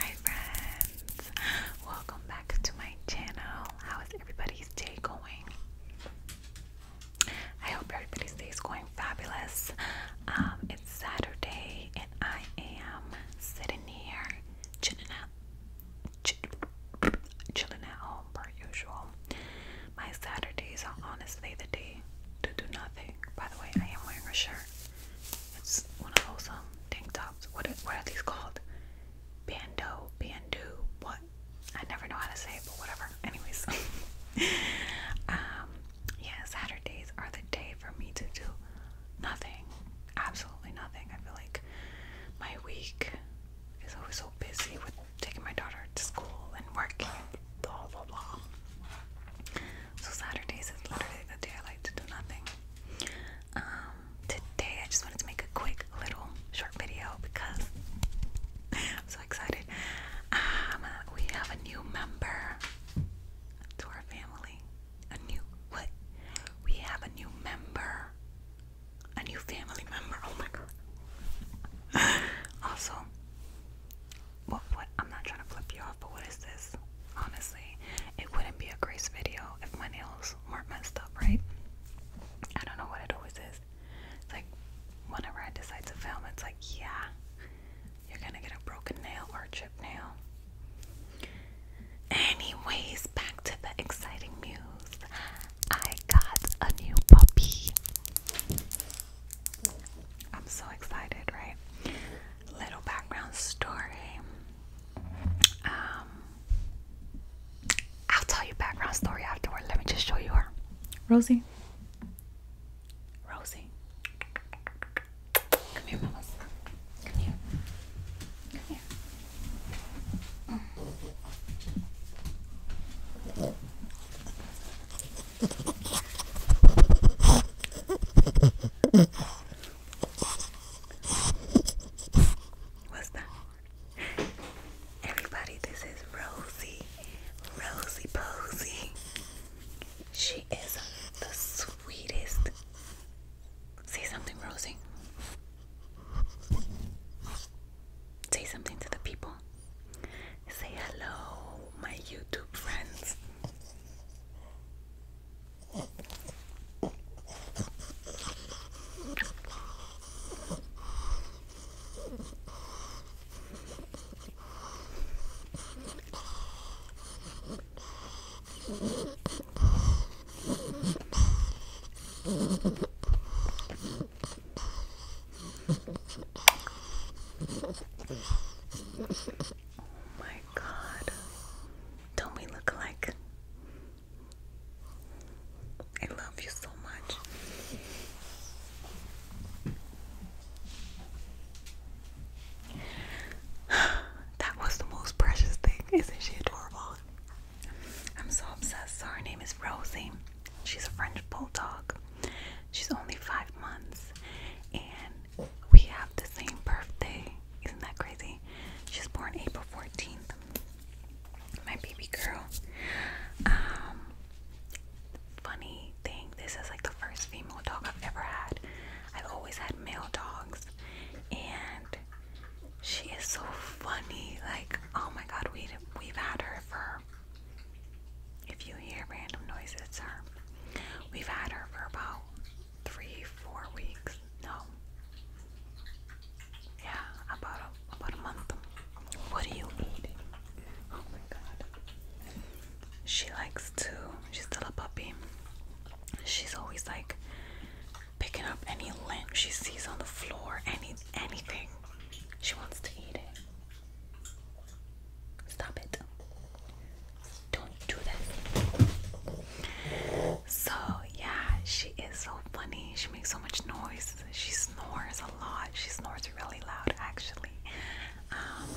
Hi friends, welcome back to my channel. How is everybody's day going? I hope everybody's day is going fabulous. Um, it's Saturday and I am sitting here chilling out, chilling at home per usual. My Saturdays are honestly the day to do nothing. By the way, I am wearing a shirt. It's one of those um tank tops. What are, what are these called? Bando, bandu, what? I never know how to say it, but whatever. Anyways, um, yeah, Saturdays are the day for me to do nothing, absolutely nothing. I feel like my week is always so busy with taking my daughter to school and working, blah blah blah. So Saturdays is literally the day I like to do nothing. Um, today I just wanted to make a quick little short video because so excited. Um, we have a new member to our family. A new what? We have a new member. A new family member. Oh my god. also, what, what I'm not trying to flip you off, but what is this? Honestly, it wouldn't be a Grace video if my nails weren't messed up, right? I don't know what it always is. It's like whenever I decide to film, it's like, yeah, you're gonna get a broken nail or a chipped nail. Anyways, back to the exciting news. I got a new puppy. I'm so excited, right? little background story. Um, I'll tell you background story afterward. Let me just show you her. Rosie. Rosie. Come here, mamas. Come here. Come here. Mm. What's that? Everybody, this is Rosie. Rosie Posey. She is the sweetest. Say something, Rosie. Say something to the people. Say hello, my YouTube friends. Oh my god. Don't we look alike? I love you so much. that was the most precious thing. Isn't she adorable? I'm so obsessed. So her name is Rosie. She's a French bulldog. She's only five months, and we have the same birthday. Isn't that crazy? She's born April 14th. My baby girl. Um, funny thing, this is like the first female dog I've ever had. I've always had male dogs, and she is so funny. Like, oh my god, we we've had her for if you hear random noise, her. We've had her for about three, four weeks. No. Yeah, about a, about a month. What are you eating? Oh my god. She likes to, she's still a puppy. She's always like picking up any limb she sees on the floor, any anything. She wants to eat it. Stop it. Don't do that. So, yeah, she is so funny. She makes so much noise. She snores a lot. She snores really loud, actually. Um,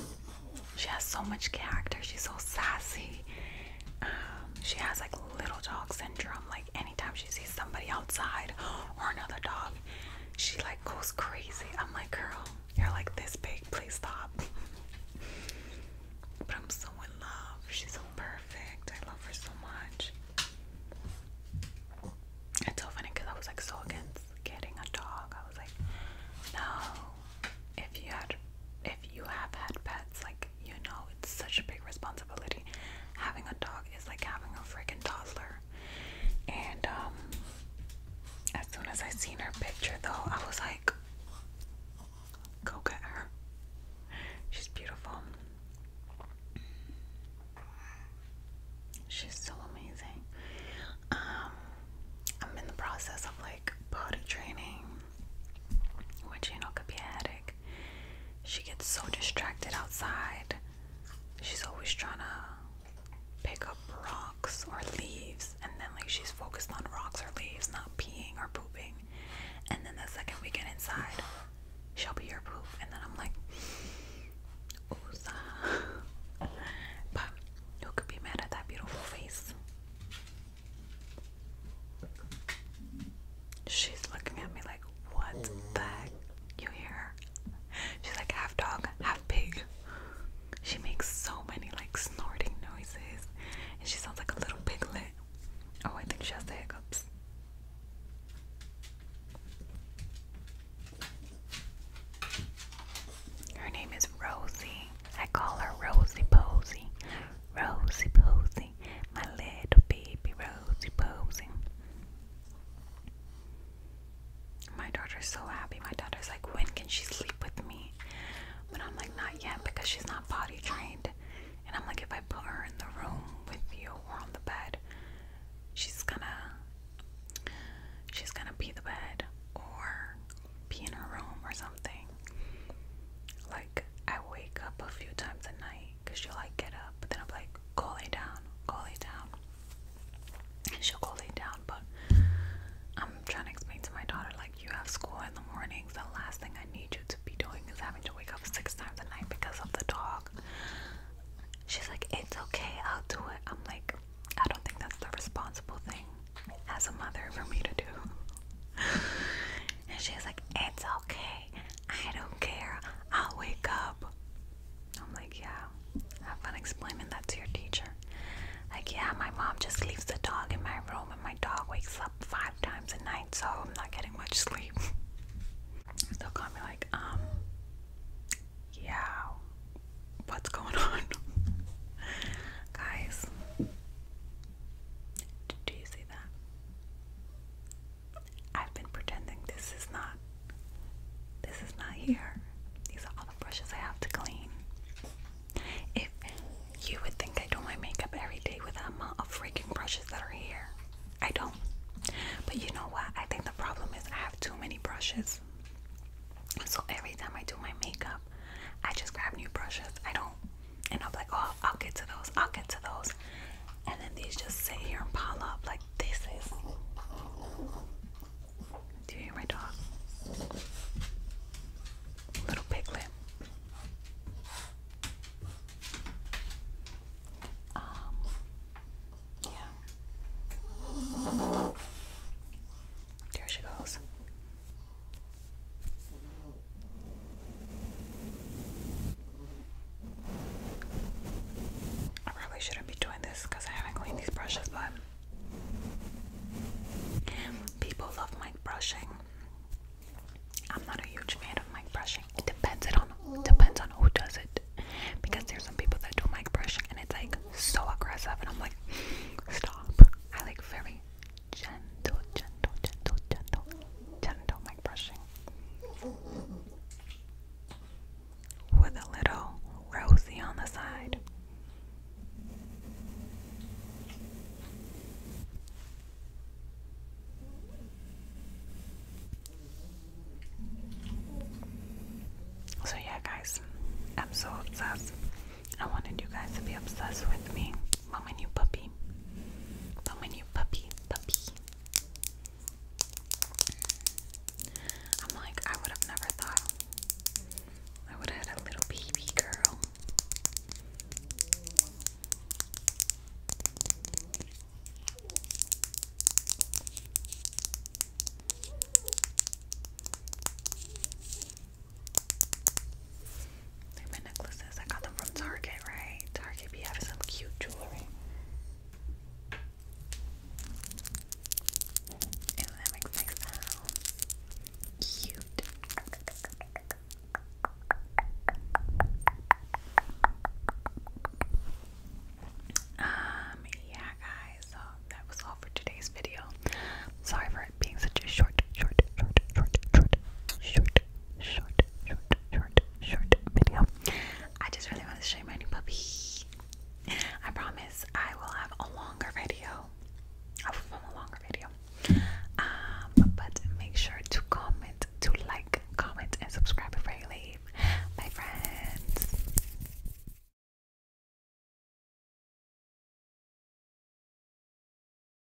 she has so much character. She's so sassy. Um, she has like little dog syndrome. Like, anytime she sees somebody outside or another dog, she like goes crazy. I'm like, girl, you're like this big, please stop. but I'm so in love. She's so perfect. I love her so much. It's so funny because I was like so against getting a dog. I was like, no. If you had if you have had pets, like you know, it's such a big responsibility. Having a dog is like having a freaking toddler. And um, as soon as I seen her picture though, I was like, go get her. She's beautiful. She's so amazing. Um, I'm in the process of like body training, which you could be a She gets so distracted outside she's always trying to pick up rocks or leaves, and then like she's focused on rocks or leaves, not peeing or pooping. And then the second we get inside, she'll be your poop, and then I'm like, Ooza. But who could be mad at that beautiful face? She's looking at me like, what the You hear She's like half dog, half pig. She makes so many like snorting noises and she sounds like a little piglet. Oh, I think she has hiccups. Her name is Rosie. I call her Rosie Posy. Rosie Posy. My little baby Rosie Posy. My daughter's so happy. My daughter's like, when can she sleep with me? But I'm like, not yet because she's not potty trained. And I'm like, if I put her in the room with you or on the bed, she's gonna she's gonna pee the bed or pee in her room or something. Like I wake up a few times a night because she'll like get up, but then I'm like, Call it down, call it down. she'll call it down, but I'm trying to explain to my daughter, like, you have school in the mornings. The last thing I need you to be doing is having to wake up six times a night because of the dog. She's like, it's okay, I'll do it. I'm like, I don't think that's the responsible thing as a mother for me to do. and she's like, it's okay, I don't care. I'll wake up. I'm like, yeah, have fun explaining that to your teacher. Like, yeah, my mom just leaves the dog in my room and my dog wakes up five times a night, so I'm not getting much sleep. They'll call me like, um, yeah, what's going on? Guys, do you see that? I've been pretending this is not this is not here. These are all the brushes I have to clean. If you would think I do my makeup every day with the amount of freaking brushes that are here. I don't. But you know what? I think the problem is I have too many brushes. So every time I do my makeup, I just grab new brushes. I don't. And I'm like, oh, I'll get to those. I'll get to those and then these just sit here and pile up like this is. Do you hear my dog? Little piglet. Um, yeah. There she goes. I probably shouldn't be doing this because I haven't cleaned these brushes, but people love mic brushing. I'm not a huge fan of mic brushing. It depends on depends on who does it. Because there's some people that do mic brushing and it's like so aggressive and I'm like stop. I like very gentle, gentle, gentle, gentle, gentle brushing. With a little rosy on the side. So, yeah, guys, I'm so obsessed. I wanted you guys to be obsessed with me. Mom and you puppy. Mom and puppy, puppy. I'm like, I would have never thought I would have a little baby girl my necklaces. I got them from Target, right? Target be having some cute jewelry. And that makes like sound cute. Um, yeah, guys, so that was all for today's video. Sorry for it being such a short, short, short, short, short, short, short short, short, short, video. I just really want to show you my new puppy. I promise I will have a longer video. I will film a longer video. Um, but make sure to comment, to like, comment, and subscribe before you leave. Bye, friends.